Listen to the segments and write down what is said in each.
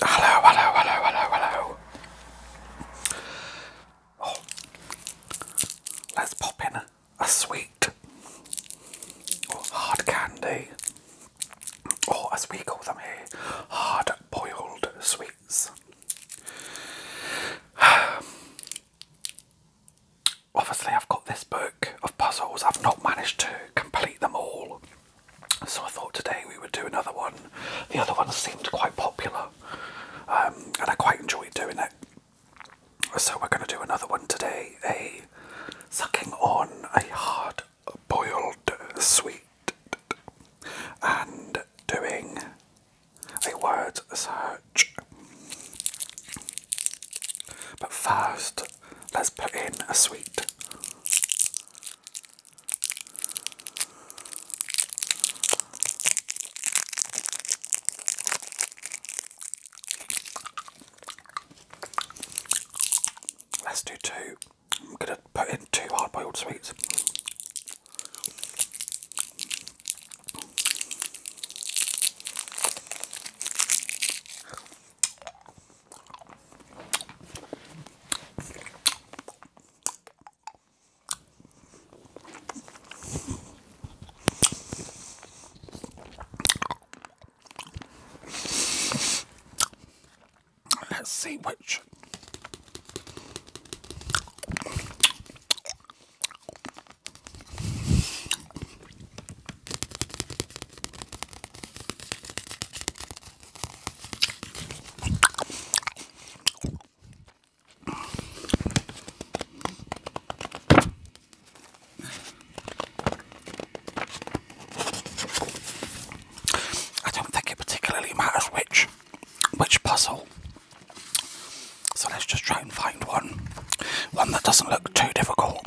Hello, hello, hello, hello, hello. Oh, let's pop in a sweet or oh, hard candy, or oh, as we call them here, hard boiled sweets. Obviously, I've got this book of puzzles, I've not managed to complete them all. So I thought today we would do another one. The other one seemed quite popular um, and I quite enjoyed doing it. So we're going to do another one today, a sucking on a hard boiled sweet and doing a word search. But first, let's put in a sweet. Let's do two. I'm going to put in two hard boiled sweets. Let's see which. I don't think it particularly matters which which puzzle. So let's just try and find one. One that doesn't look too difficult.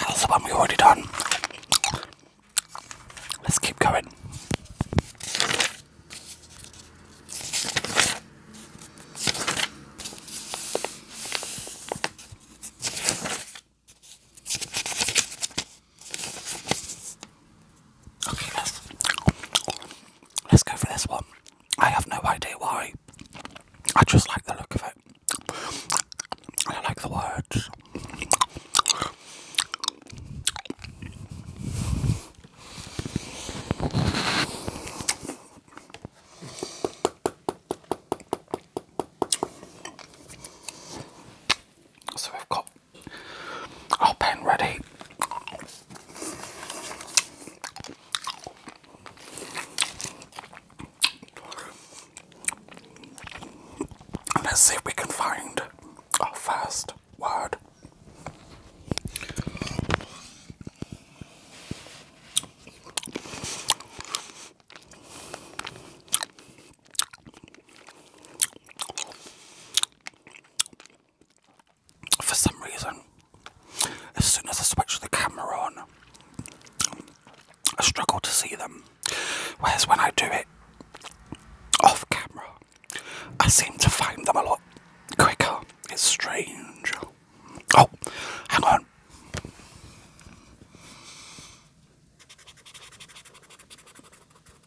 That's the one we already done. Let's keep going. Okay, let's let's go for this one. I have no idea why. I just like the look of it. I like the words. So we've got all pen ready. Let's see if we can find our first word for some reason, as soon as I switch the camera on, I struggle to see them. Whereas when I do it off camera, I seem to find them a lot quicker. It's strange. Oh, hang on.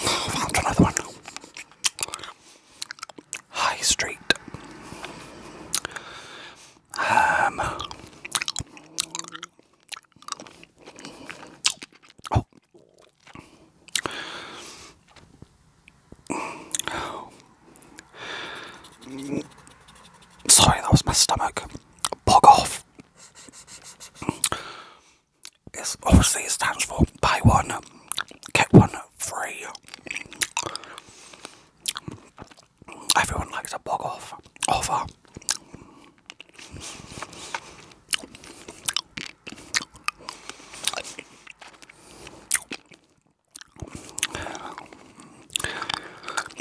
Found another one. High Street. Um. Oh. Sorry, that was my stomach. Bog off. It's obviously it stands for buy one, get one free. Everyone likes a bog off offer.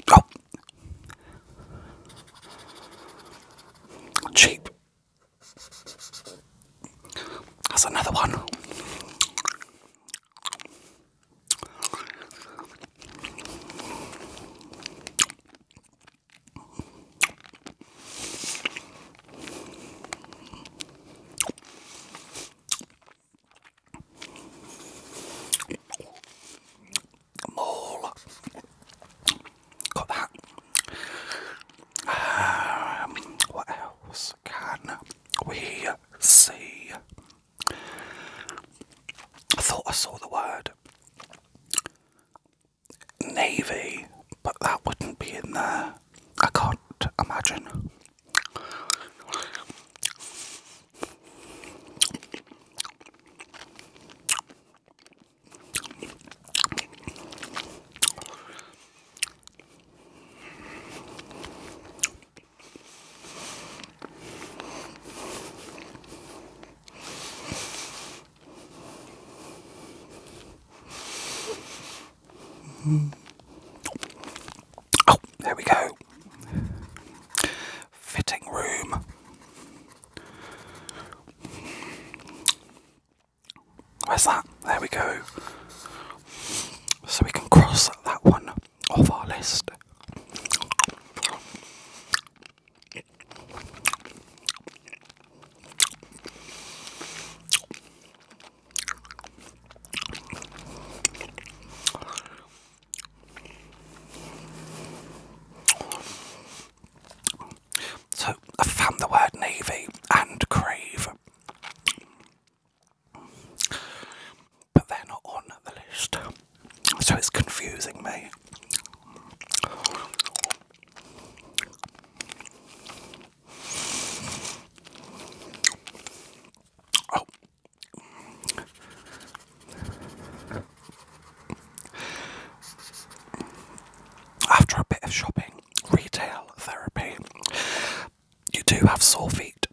Oh. Cheap. That's another one. Mole. Got that. Um, what else can we see? I thought I saw the word navy, but that wouldn't be in there. I can't imagine. Oh, there we go. Fitting room. Where's that? There we go. So we can cross that one off our list. So I found the word navy and crave, but they're not on the list, so it's confusing me. Oh. After a bit of shopping, retail therapy, you do have sore feet.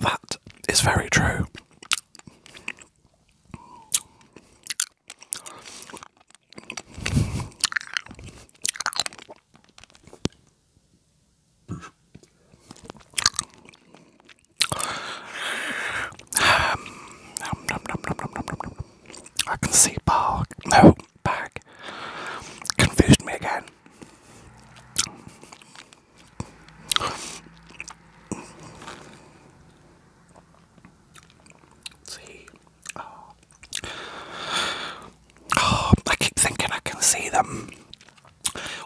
That is very true. I can see bag. No, bag. Confused me again. See, Oh. oh. I keep thinking I can see them.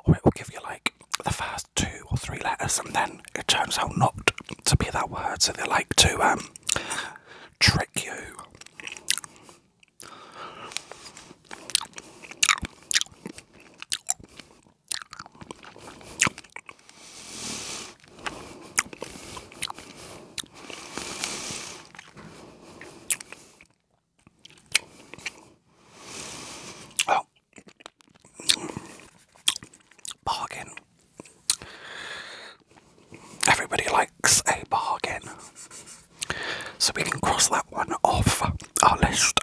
Or it will give you like the first two or three letters, and then it turns out not to be that word, so they like to um, trick you. Oh. Bargain. Everybody likes a bargain. So we can cross that one off our list.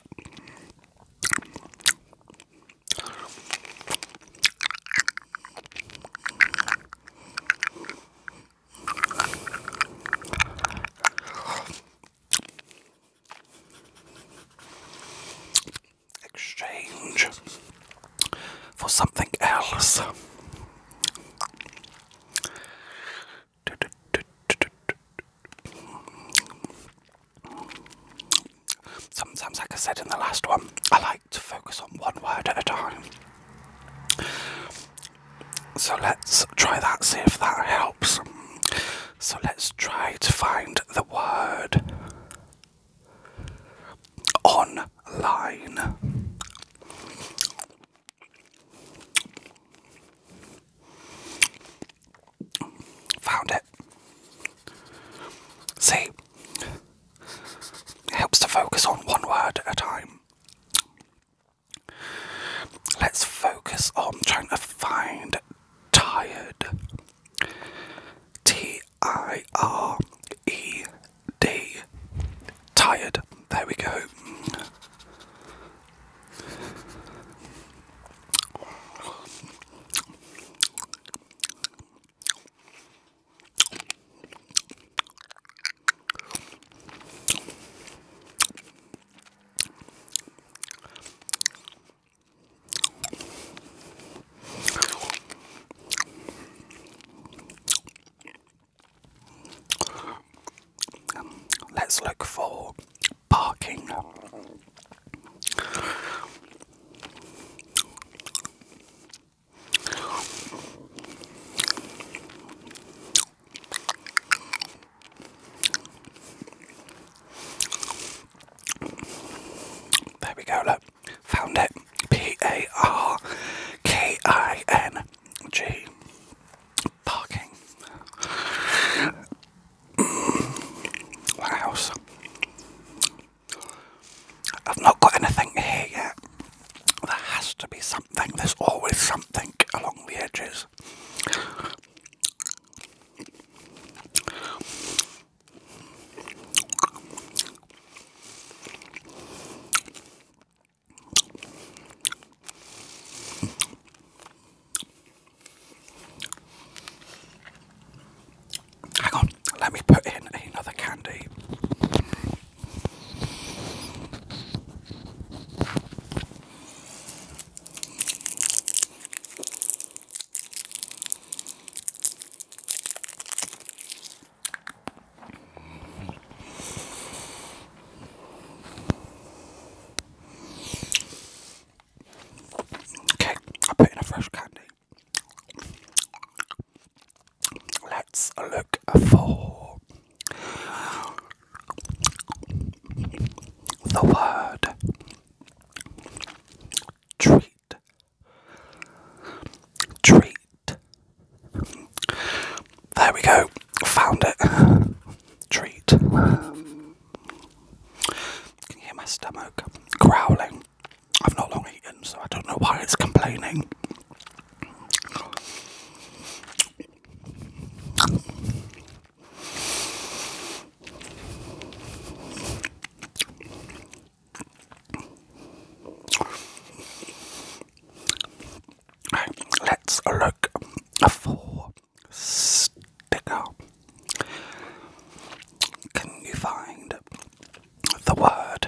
Exchange for something else. Sometimes, like I said in the last one, I like to focus on one word at a time. So let's try that, see if that helps. So let's try to find the word online. Found it. See, it helps to focus on one word at a time. Let's focus on trying to find tired. T I R E D. Tired. There we go let's look for parking. There we go, look. Found it. P A R K I N G. Parking. what I've not got anything here yet. There has to be something, there's always something along the edges. Hang on, let me put in another candy. Okay, I put in a fresh candy. Let's look for the word treat. Treat. There we go. Found it. Treat. Can hear my stomach growling? I've not long eaten, so I don't know why it's complaining let's look for sticker. Can you find the word?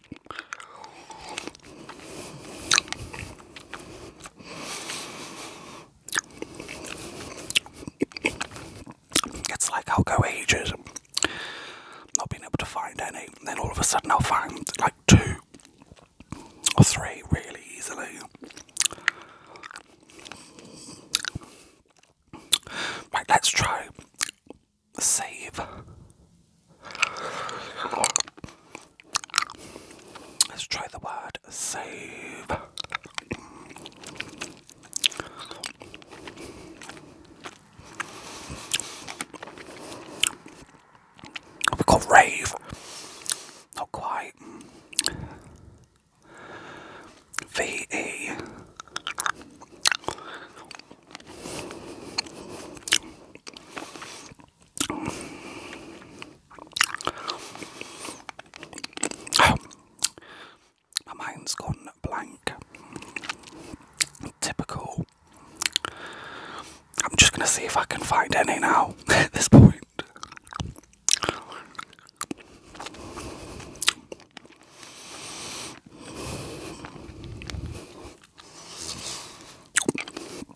It's like I'll go ages not being able to find any, and then all of a sudden I'll find like two or three really easily. Right, let's try save Let's try the word save. We call rave. Not quite. V E. my mind's gone blank. Typical. I'm just gonna see if I can find any now at this point.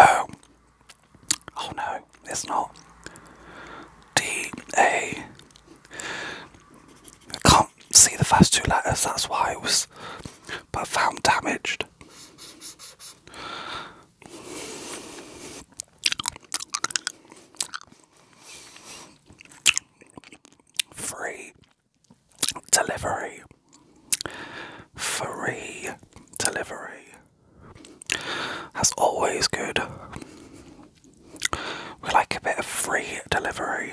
Oh, oh no, it's not. D A. I can't see the first two letters. That's why it was, but found damaged. Free delivery. Free delivery. That's always good. We like a bit of free delivery.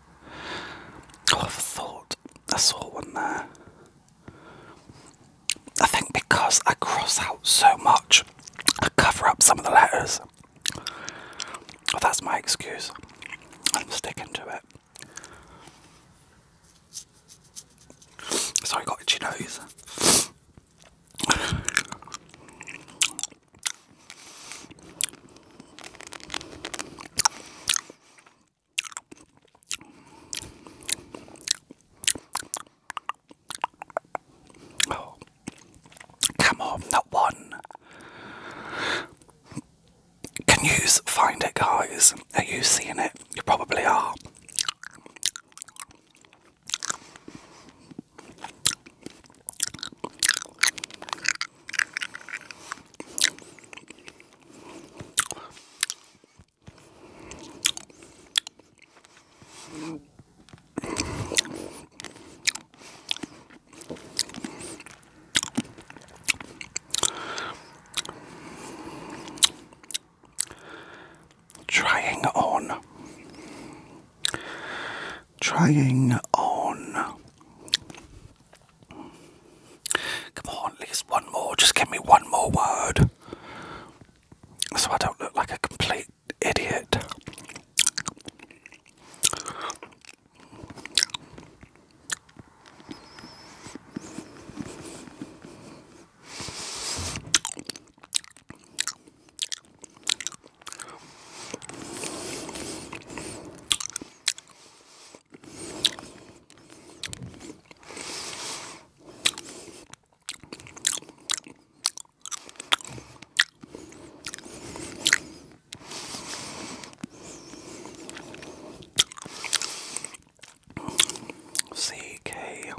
Oh, i thought I saw one there. I think because I cross out so much, I cover up some of the letters. that's my excuse. I'm sticking to it. Sorry, got itchy nose. Oh. come on, not one. Can you find it, guys? Are you seeing it? You probably are. Trying on, trying on Come on, at least one more. Just give me one more word. So I don't look like a complete idiot. CK.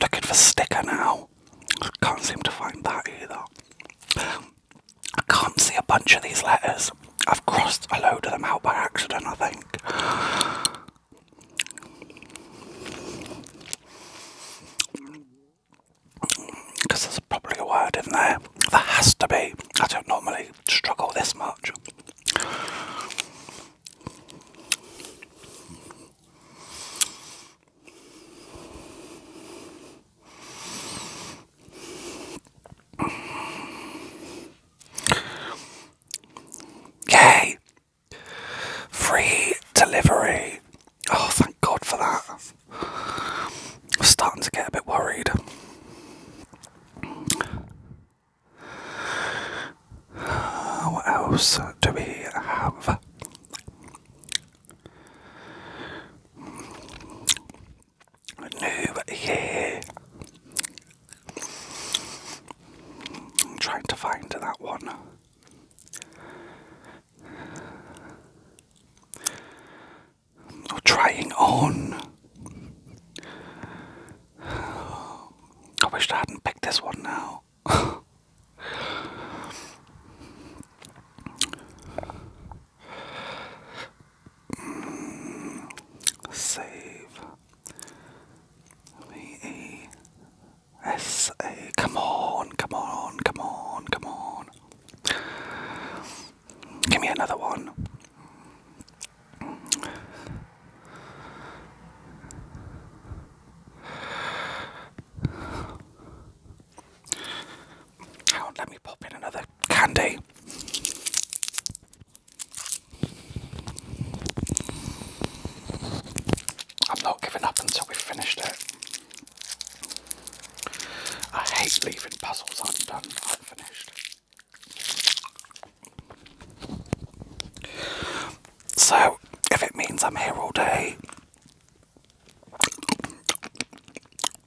looking for sticker now. Can't seem to find that either. I can't see a bunch of these letters. I've crossed a load of them out by accident, I think. Because there's probably a word in there. There has to be. I don't normally struggle this much. Yay! Free delivery. Oh, thank God for that. I'm starting to get a bit worried. Uh, what else do we have? New Year. I'm trying to find that one. Or trying on. I wish I hadn't picked this one now save me a S A. Come on, come on, come on, come on. Give me another one let me pop in another candy. I'm not giving up until we've finished it. I hate leaving puzzles undone, unfinished. So, if it means I'm here all day,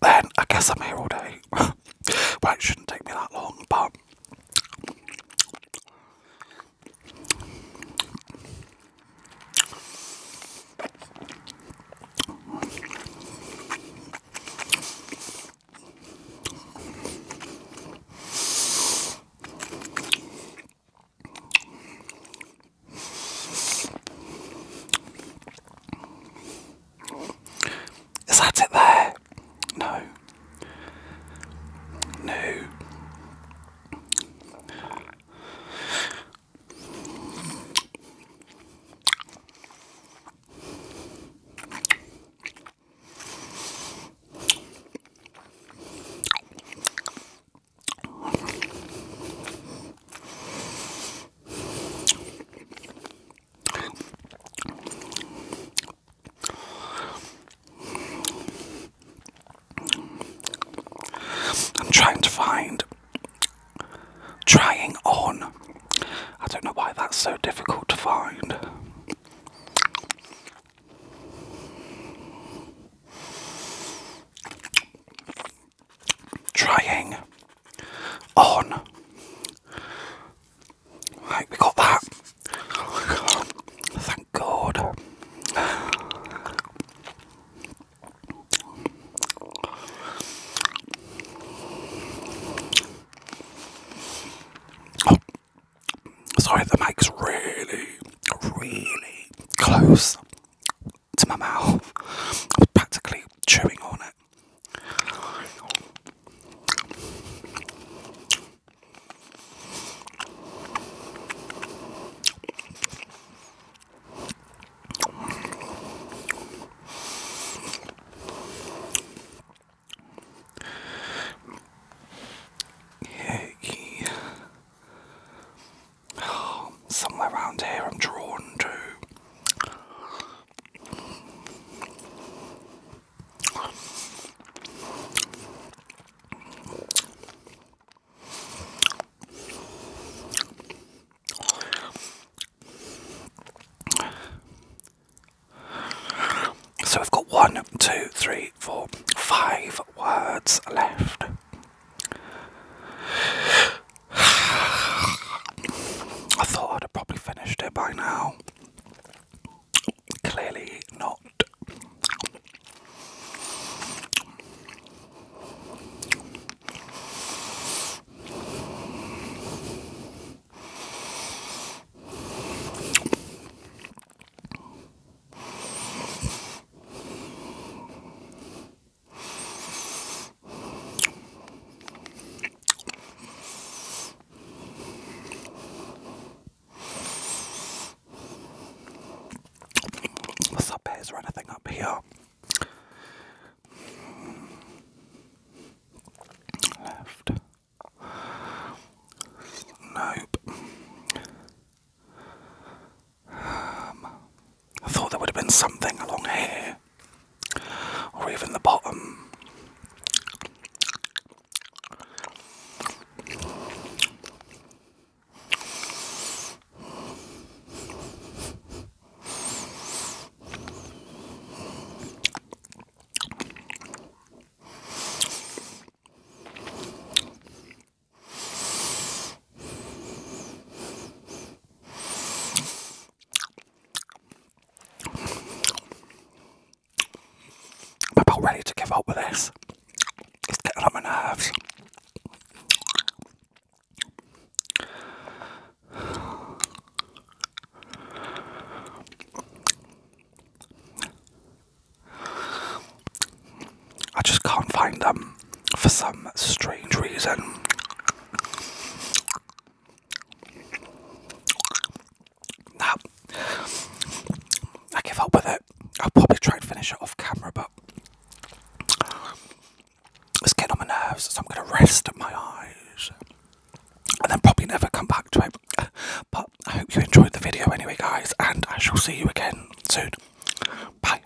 then I guess I'm here all day. well, it shouldn't take me that long, but is that it there? No. No. I'm trying to find trying on. I don't know why that's so difficult to find trying on. Right, we got that. Thank God. Oh, sorry, the mic's really, really close to my mouth. I am practically chewing on it. Yeah, yeah. somewhere around here, I'm drawn to so we've got one, two, three, four, five words left. I thought I'd have probably finished it by now. Clearly not. What's up, is there anything up here? Left. Nope. Um, I thought there would have been something along here, or even the bottom. I'm about ready to give up with this. It's getting on my nerves. I just can't find them for some strange reason. Now, I give up with it. I'll probably try and finish it off camera, but it's getting on my nerves, so I'm going to rest my eyes and then probably never come back to it. But I hope you enjoyed the video anyway, guys, and I shall see you again soon. Bye.